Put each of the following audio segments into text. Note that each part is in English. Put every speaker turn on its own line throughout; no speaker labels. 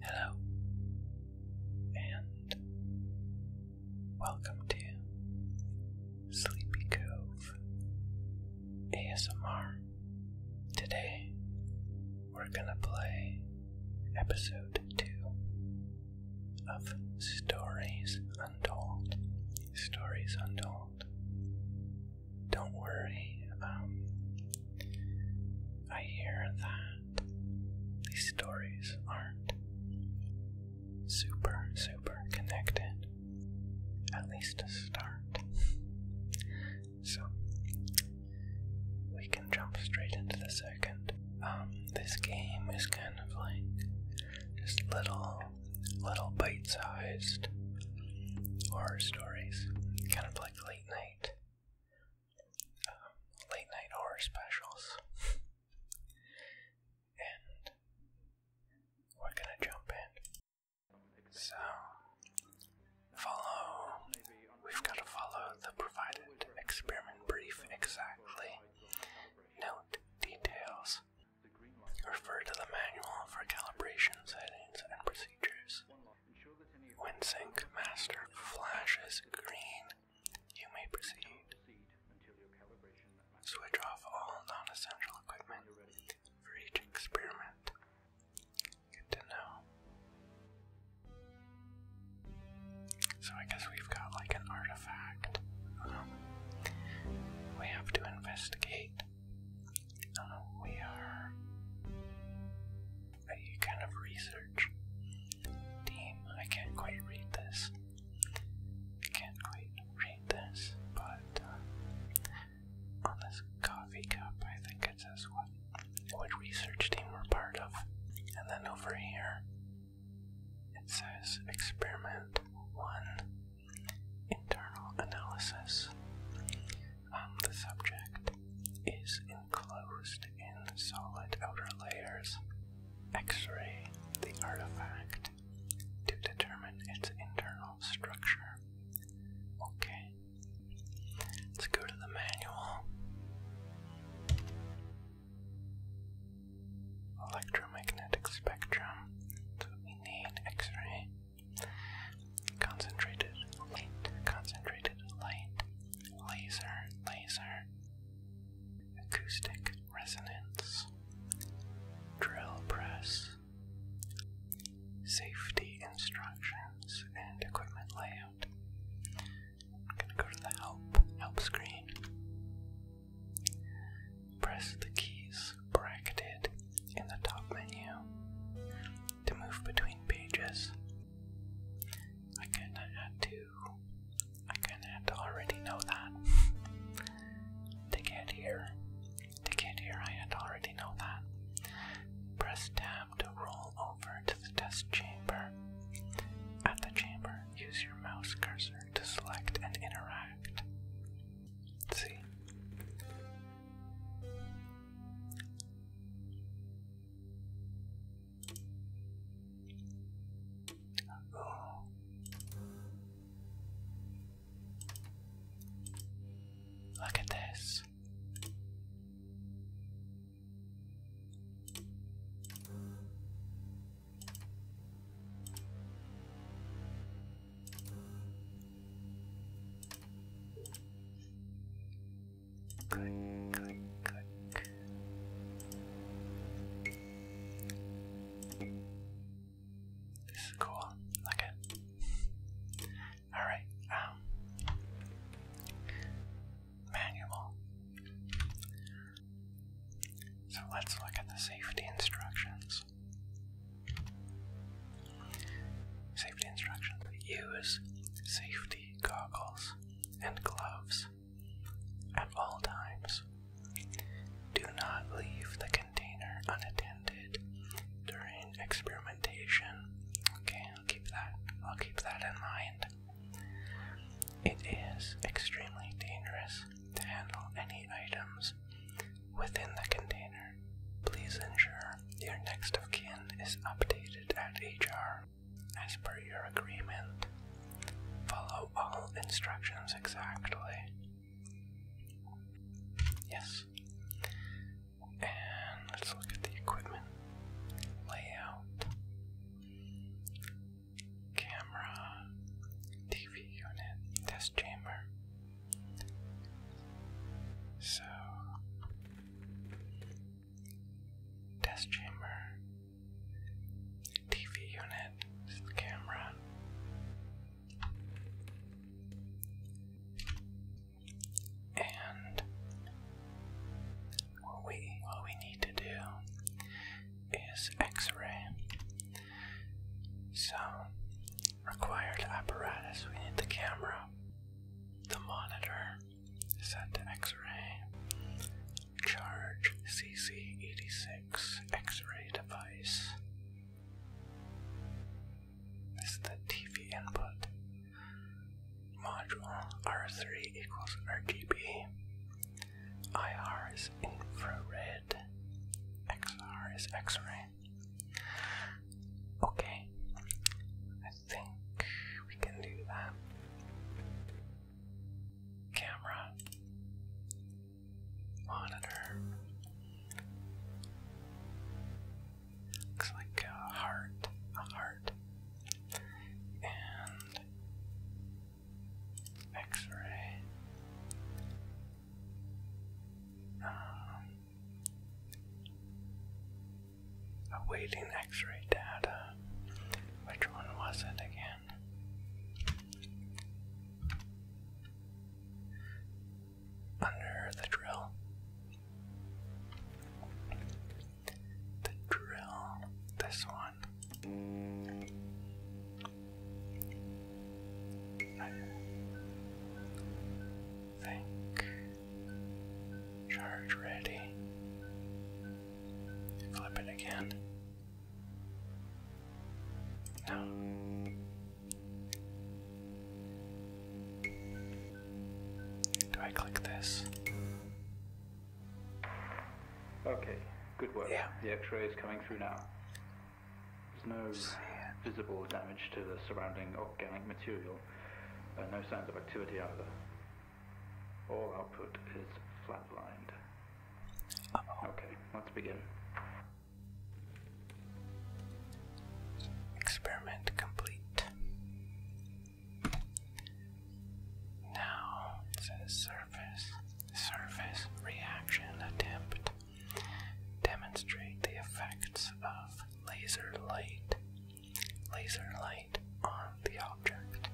Hello, and welcome to Sleepy Cove ASMR. Today, we're gonna play episode 2 of Stories Untold. Stories Untold. Don't worry, um, I hear that these stories aren't super, super connected. At least to start. so, we can jump straight into the second. Um, this game is kind of like just little, little bite sized horror stories. Kind of like late night late night horror specials. and we're gonna jump in. So, follow. We've gotta follow the provided experiment brief exactly. Note details. Refer to the manual for calibration settings and procedures. When sync Master flashes green, you may proceed. Switch off all non essential equipment for each experiment. Good to know. So, I guess we've got like an artifact. Um, we have to investigate. Uh, we are a kind of research team. I can't quite read this. I can't quite read this, but uh, on this coffee cup, I think it says what what research team we're part of, and then over here it says experiment one internal analysis. Um, the subject is enclosed in solid outer layers. X ray the artifact to determine its internal structure. Okay, let's go to the manual. Electromagnetic spectrum. That's what we need. X ray concentrated light, concentrated light, laser, laser, acoustic resonance, drill press, safety instructions, and equipment layout. I'm gonna go to the help, help screen. Press the keys bracketed in the top menu to move between pages I kinda had to. I kinda had to already know that. to get here. To get here, I had already know that. Press tab to roll over to the test chamber. At the chamber, use your mouse cursor to select and interact. See? Tá bom. Look at this. This is cool. Okay. Alright, um, manual. So let's look at the safety instructions. Safety instructions. Use safety goggles and gloves at all times. Do not leave the container unattended during experimentation. Okay, I'll keep that. I'll keep that in mind. It is extremely dangerous to handle any items within the container. Please ensure your next of kin is updated at HR as per your agreement. Follow all instructions exactly. Yes. And let's look at the equipment layout. Camera, TV unit, test chamber. So, Test chamber. TV unit is the camera. And what we what we need to do is X-ray. So required apparatus. We need the camera, the monitor, Send X-ray. Charge CC86 X-ray device. This is the TV input. Module R3 equals RGB. IR is infrared. XR is X-ray. Okay. I think we can do that. Camera. Monitor. Looks like a heart. A heart. And X-ray. Um, Awaiting x ray data. Which one was it again? Under the drill. The drill. This one. I think Charge ready. Flip it again. No.
Do I click this? Okay, good work. Yeah. The X-ray is coming through now. There's no visible damage to the surrounding organic material and no signs of activity either. All output is flatlined. Okay, let's begin.
Experiment complete. Now it says surface, surface reaction attempt. Demonstrate the effects of laser light laser light on the object.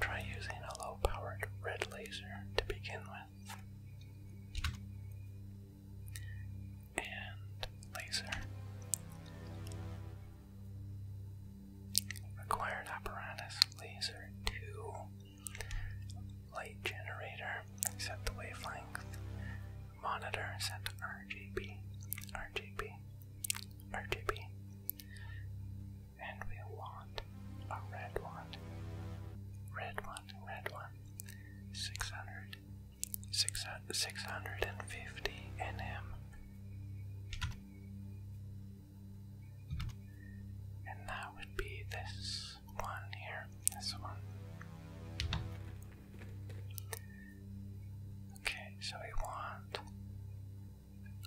Try using a low powered red laser to begin with. And laser. Required apparatus laser 2. Light generator, set the wavelength, monitors and RGB, RGB, RGB, and we want a red one, red one, red one, 600, 650 nm, and that would be this one here, this one. Okay, so we want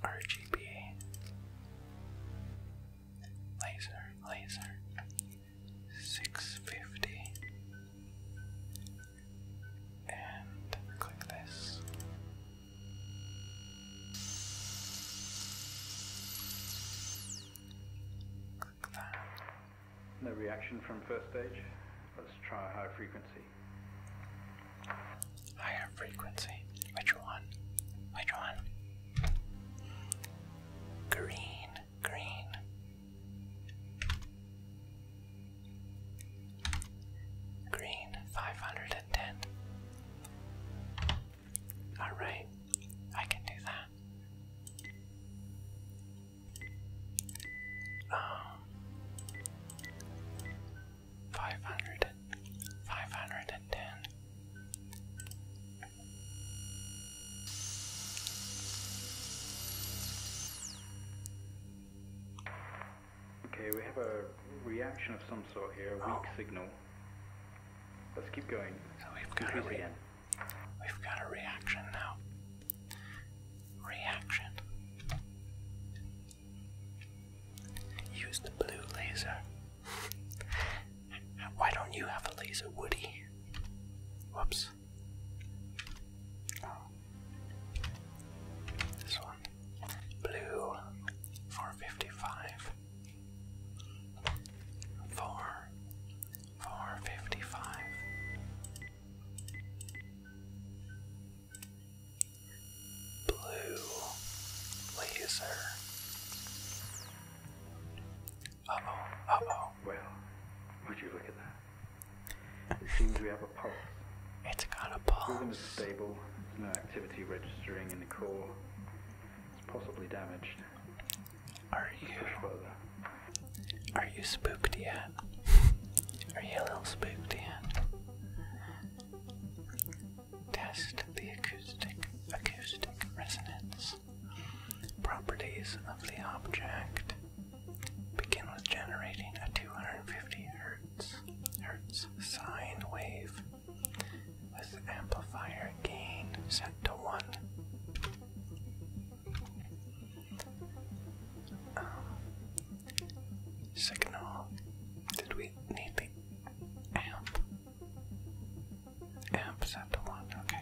RGB, laser, laser, 650, and click this.
Click that. No reaction from first stage. Let's try high frequency. Higher frequency. Which one? Which one?
Green, green. Green, 510. Alright, I can do that. Um, 500, 510.
Okay, we have a reaction of some sort here, a weak oh. signal. Let's keep going. So we've got, a, again. we've got a reaction now.
Reaction. Use the blue laser. Why don't you have a laser, Woody? Whoops. Oh. This one. Blue 455. 4 455 Blue laser. oh, oh.
Well, would you look at that? It seems we have a pulse. It's got a pulse. Rhythm is stable, no activity registering in the core. It's possibly damaged. Are you? Are you spooked
yet? Are you a little spooked yet? Test the acoustic acoustic resonance properties of the object. Begin with generating a 250 hertz hertz sine wave with amplifier gain set to 1 signal. Did we need the amp? Amp is at the one, okay.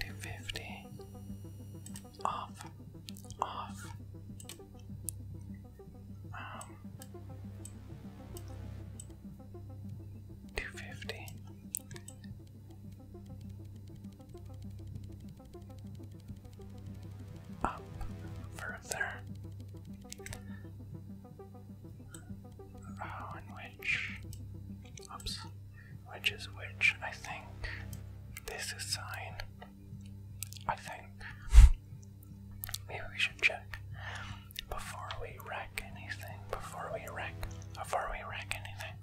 250. Off. Off. Um. 250 up further. Oh, which, oops, which is which? I think this is sign. I think maybe we should check before we wreck anything. Before we wreck, before we wreck anything.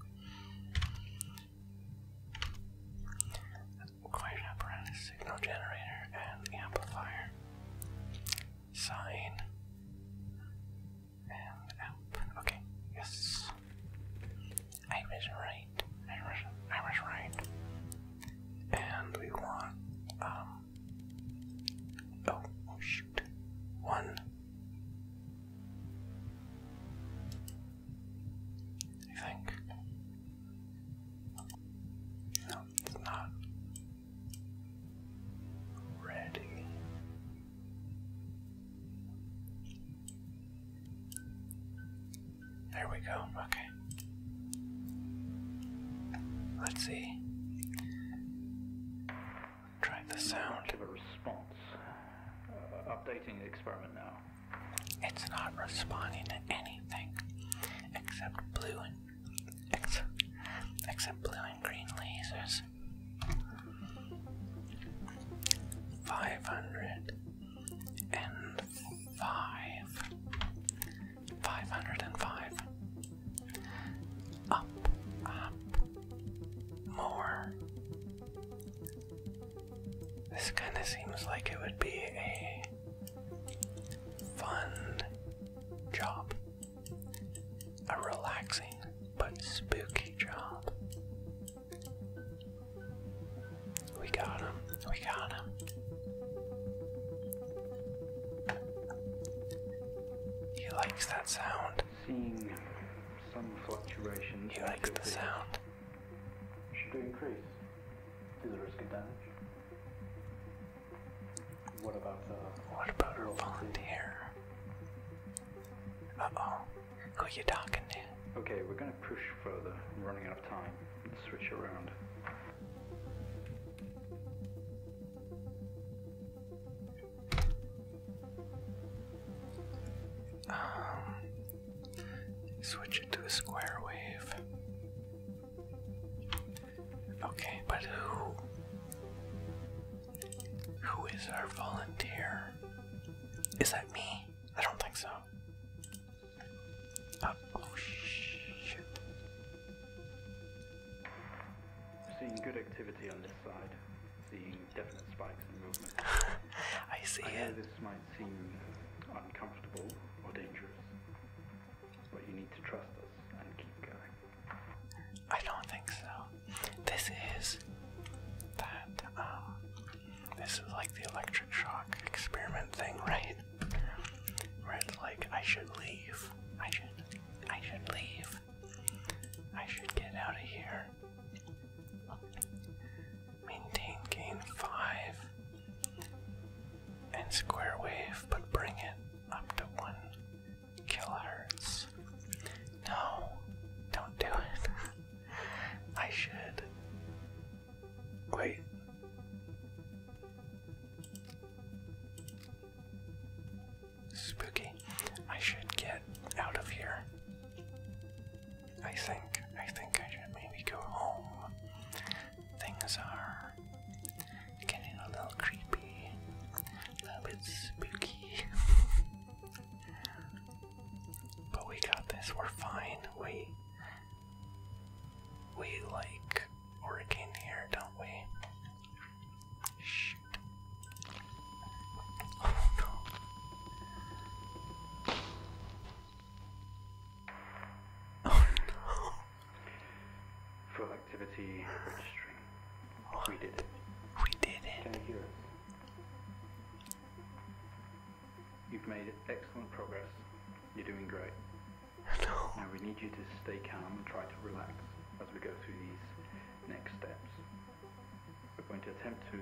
Acquired apparatus, signal generator, and amplifier. Sign. And amp. Okay, yes. I was right. I was, right. And we want, um, oh shoot. One. You think? No, it's not ready. There we go, okay. Let's see. Try the sound.
Give a response uh, updating the experiment now.
It's not responding to anything except blue and except, except blue and green lasers. 500 and 5 505 up up more this kind of seems like it would be a fun job. A relaxing but spooky job. We got him. We got him.
He likes that sound. Seeing some fluctuations. the sound. Should we increase to the risk of damage. What about the uh, What about her volunteer? Uh oh. Who you talking to? Okay, we're gonna push further. I'm running out of time. switch around.
Um, switch it to a square wave. Okay, but who? Who is our volunteer? Is that me? I don't think so. oh, oh
shit. Seeing good activity on this side. Seeing definite spikes in movement. I see I Know this might seem uncomfortable or dangerous, but you need to trust us and keep going.
I don't think so. This is that, um, this is like the electric shock experiment thing, right? Where it's like, I should leave. I should, I should leave. I should get out of here. Maintain gain 5 and square wave, but bring it up to 1 kilohertz. No, don't do it. I should. Wait. Spooky. I should get out of here. I think I think I should maybe go home. Things are getting a little creepy, a little bit spooky. but we got this. We're fine. We we like working here, don't we? Shoot. Oh no.
Oh no. Full activity registering. We did it. We did it. Can you hear us? You've made excellent progress. You're doing great. No. Now we need you to stay calm and try to relax as we go through these next steps. We're going to attempt to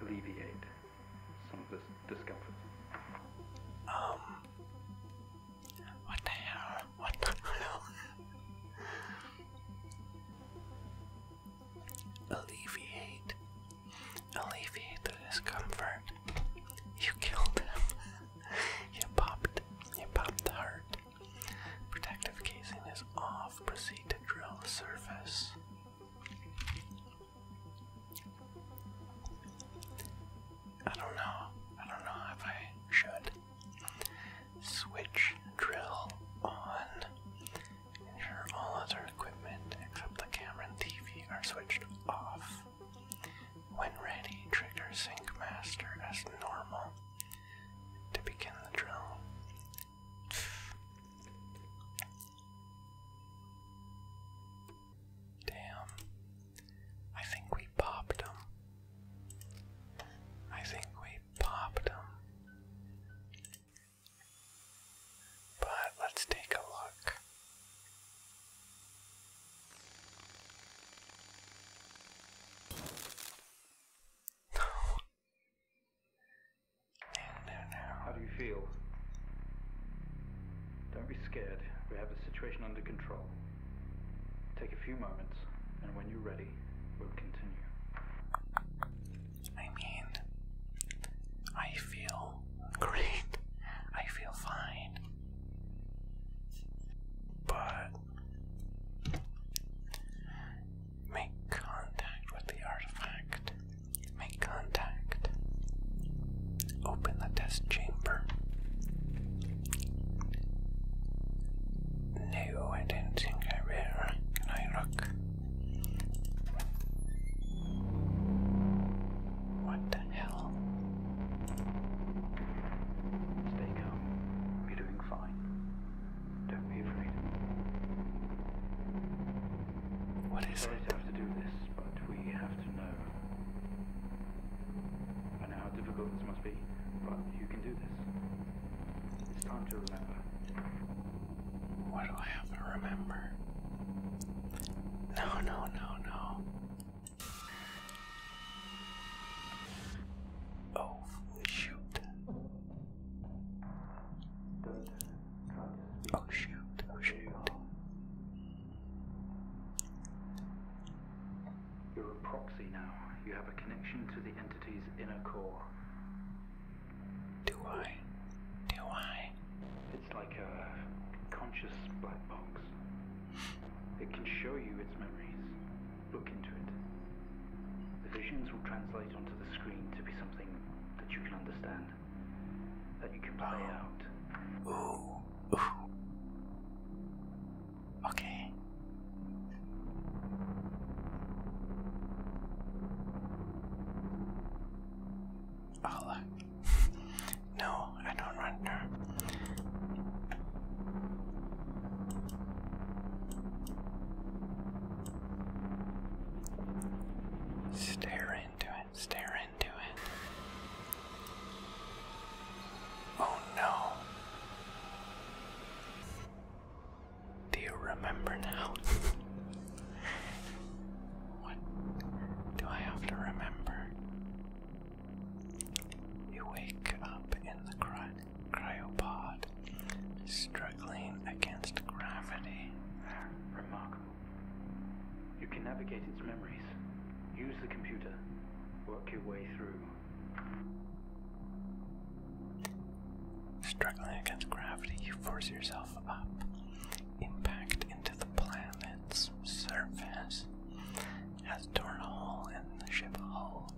alleviate some of this discomfort.
Um. What the hell? What the hell? alleviate. Alleviate the discomfort. You killed him. you popped. You popped the heart. Protective casing is off proceed to drill the surface. I don't know. I don't know if I should switch drill on. Ensure all other equipment except the camera and TV are switched off. When ready, trigger Sync Master as normal to begin the drill. Damn. I think we popped him. I think we popped him. But let's take a look.
How do you feel? Don't be scared. We have the situation under control. Take a few moments, and when you're ready, we'll continue. I mean, I feel great. I feel fine.
But Make contact with the artifact. Make contact. Open the test chamber. No, I do Can I look?
What the hell? Stay calm. You're doing fine. Don't be afraid. What is Sorry it? Sorry to have to do this, but we have to know. I know how difficult this must be, but you can do this. It's time to remember.
What do I have to remember? No, no, no, no. Oh, shoot. Oh shoot, oh shoot.
You're a proxy now. You have a connection to the entity's inner core. Do
I? Do I?
It's like a conscious black box. It can show you its memories. Look into it. The visions will translate onto the screen to be something that you can understand, that you can play oh. out. Ooh.
Okay. Oh, no, I don't run there. Stare into it, stare into it. Oh no. Do you remember now? what do I have to remember? You wake up in the crotch cryopod struggling against gravity.
Remarkable. You can navigate its memories. Use the computer. Work your way through.
Struggling against gravity, you force yourself up. Impact into the planet's surface has torn a hole in the ship hull.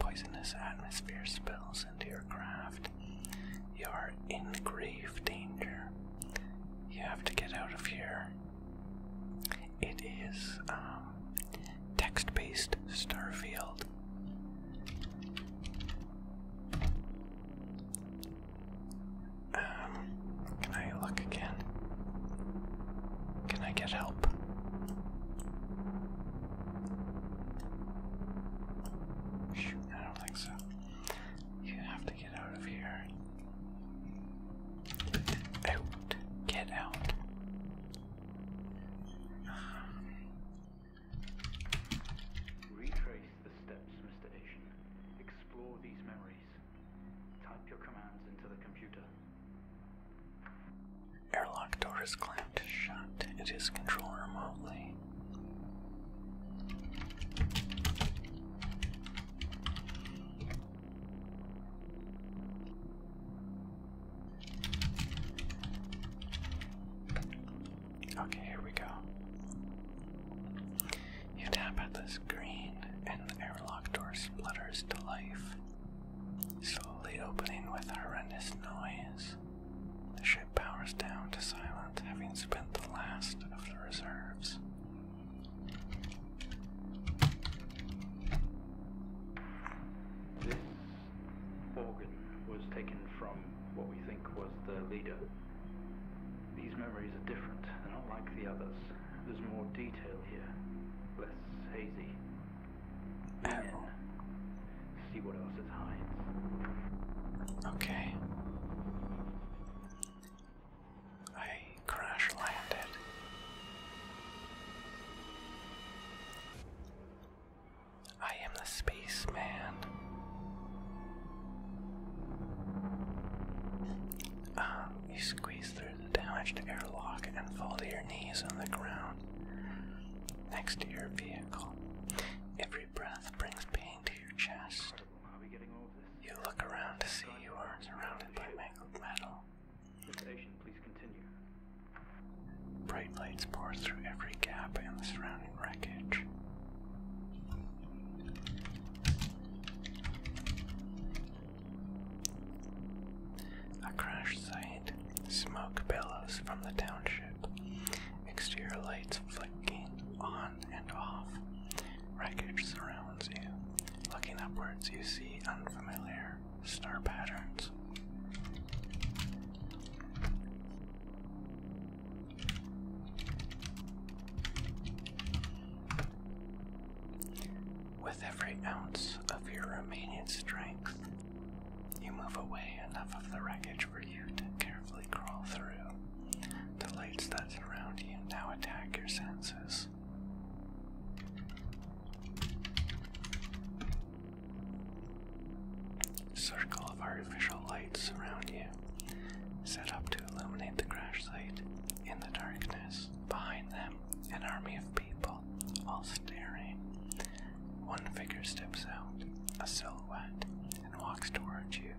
Poisonous atmosphere spills into your craft. You are in grave danger. You have to get out of here. It is um, text based Starfield. Um, can I look again? Can I get help? Shoot, I don't think so. You have to get out of here. Out. Get out.
Retrace the steps, Mr. Asian. Explore these memories. Type your commands into the computer. Airlock door is clamped shut. It is controlled remotely.
Okay, here we go. You tap at the screen, and the airlock door splutters to life, slowly opening with horrendous noise. The ship powers down to silent, having spent the last of the reserves.
This organ was taken from what we think was the leader. These memories are different, they're not like the others. There's more detail here, less hazy. See what else it hides. Okay.
I crash landed. I am the spaceman. Um, you squeeze through the damaged airlock and fall to your knees on the ground next to your vehicle. Every breath brings pain to your chest. You look around to see you are surrounded by metal. Bright lights pour through every gap in the surrounding wreckage. A crash smoke billows from the township, exterior lights flicking on and off. Wreckage surrounds you. Looking upwards, you see unfamiliar star patterns. With every ounce of your remaining strength, you move away enough of the wreckage for you to carefully crawl through. The lights that surround you now attack your senses. Circle of artificial lights surround you, set up to illuminate the crash site. In the darkness, behind them, an army of people, all staring. One figure steps out, a silhouette, and walks towards you.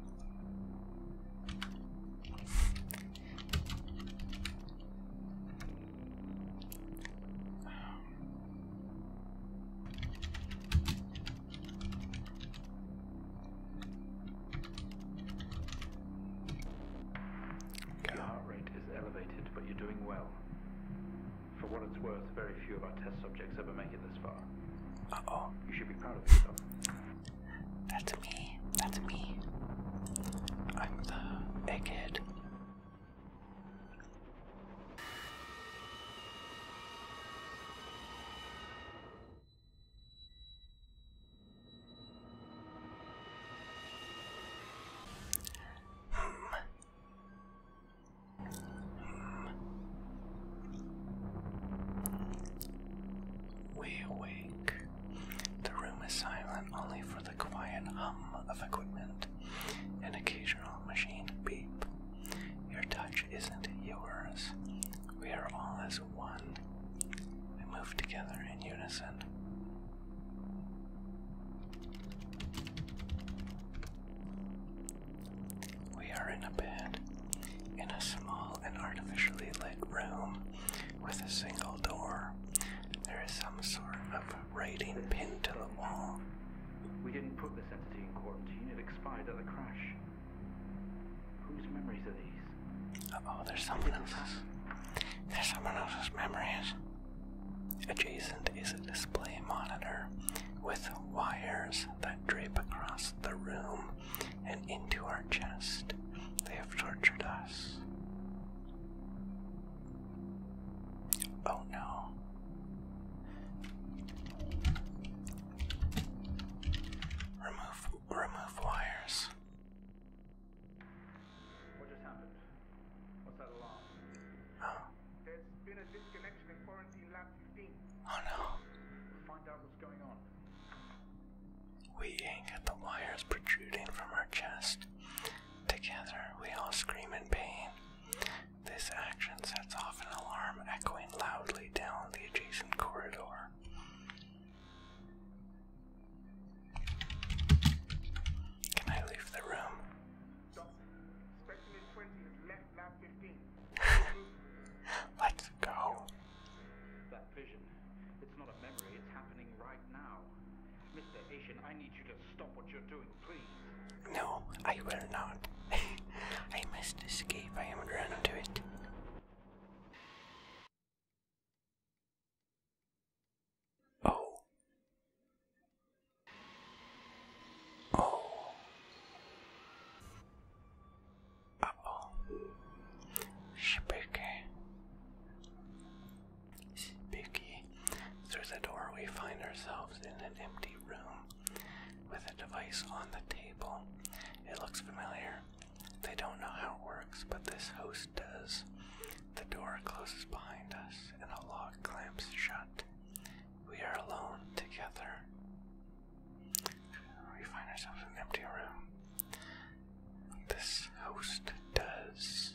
Your heart rate is elevated, but you're doing well. For what it's worth, very few of our test subjects ever make it this far. Uh-oh. You should be proud of yourself.
That's me. That's me. I'm the egghead. Hmm. We awake. The room is silent only for the quiet hum of equipment, an occasional machine beep. Your touch isn't yours. We are all as one. We move together in unison. We are in a bed, in a small and artificially lit room with a single door. There is some sort of writing pinned to the
wall. We didn't put this entity in quarantine, it expired at the crash. Whose memories are these? oh, there's someone else's.
There's someone else's memories. Adjacent is a display monitor with wires that drape across the room and into our chest. They have tortured us. Oh no. Remove remove wires. What just happened?
What's that alarm? Oh. There's been a disconnection in quarantine lab 15. Oh no. Find out what's going on. We ain't got the wires protruding from our chest.
Together, we all scream in pain. This action sets off an alarm echoing loudly down the adjacent corridor.
Can I leave the room? Let's go. Mr. Asian, I need you to stop what you're doing, please. No, I will not. I must escape. I am running to it.
Oh. Oh. Apple. Shibiki. Shibiki. Through the door, we find ourselves in an empty room with a device on the table. It looks familiar. They don't know how it works, but this host does. The door closes behind us and a lock clamps shut. We are alone together. We find ourselves in an empty room. This host does.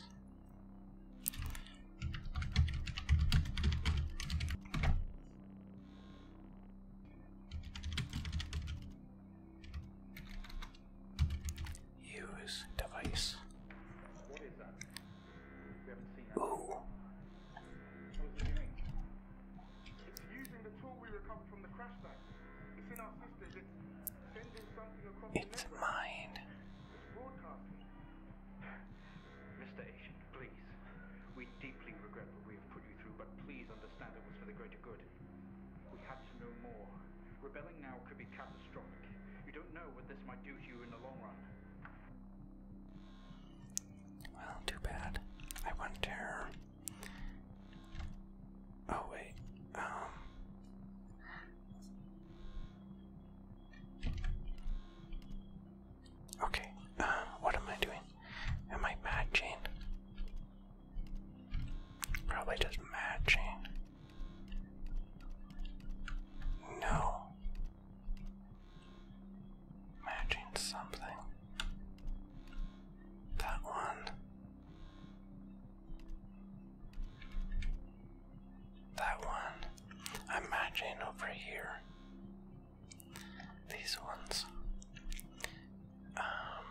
Use device. Ooh. It's using the tool we recovered from the crash site. It's in our systems. It's sending mine. Mr. Asian, please. We deeply regret what we have put you through, but please understand it was for the greater good. We had to know more. Rebelling now could be catastrophic. You don't know what this might do to you in the long run. Well, too bad. I wonder.
Oh wait. Um. Okay. Uh, what am I doing? Am I matching? Probably just matching. No. Imagine something. That one. That one. Imagine over here. These ones. Um,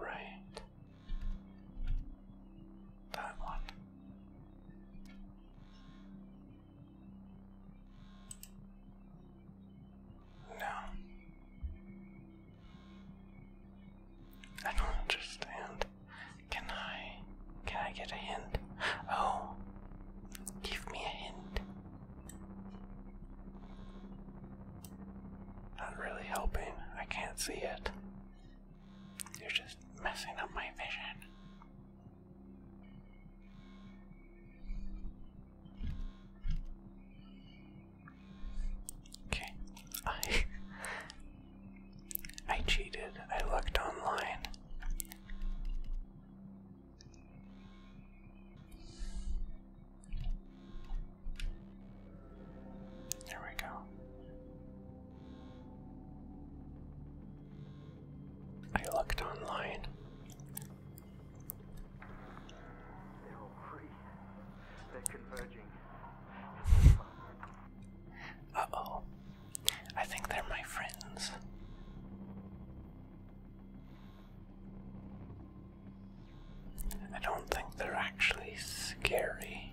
right. That one. No. I don't understand. Can I can I get a hint? Oh give me a hint. Not really helping. I can't see it. You're just messing up my vision. Okay, I I cheated. I looked online. There we go. I looked online. They're converging. uh oh. I think they're my friends.
I don't think they're actually scary.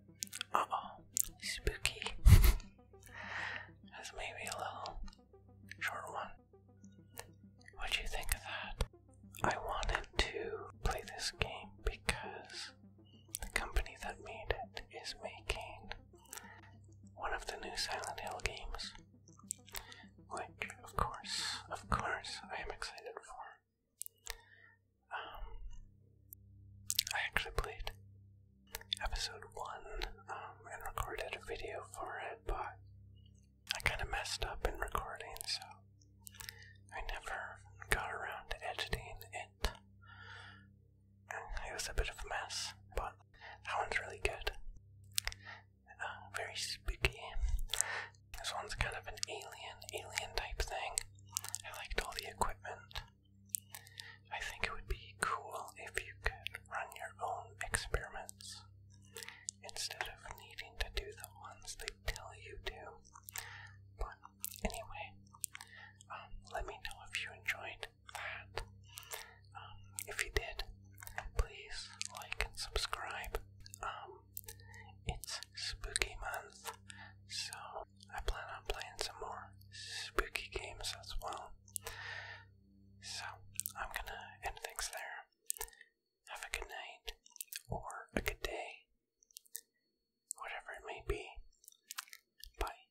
Uh oh, spooky. That's maybe a little short one. What do you think of that? I wanted to play this game because the company that made it is making one of the new Silent Hill games, which, of course, of course, I am excited for. Um, I actually played episode one um, and recorded a video for it, but I kind of messed up in recording, so I never got around to editing it. It was a bit of a mess, but that one's really good. Uh, very spooky. This one's kind of an alien, alien type thing. I liked all the equipment. I think it would be cool if you could run your own experiments instead of needing to do the ones they tell you to. But anyway, um, let me know if you enjoyed that. Um, if you did, please like and subscribe. Um, it's spooky month, so I plan on playing some more spooky games as well. So, I'm gonna end things there. Have a good night, or a good day, whatever it may be. Bye.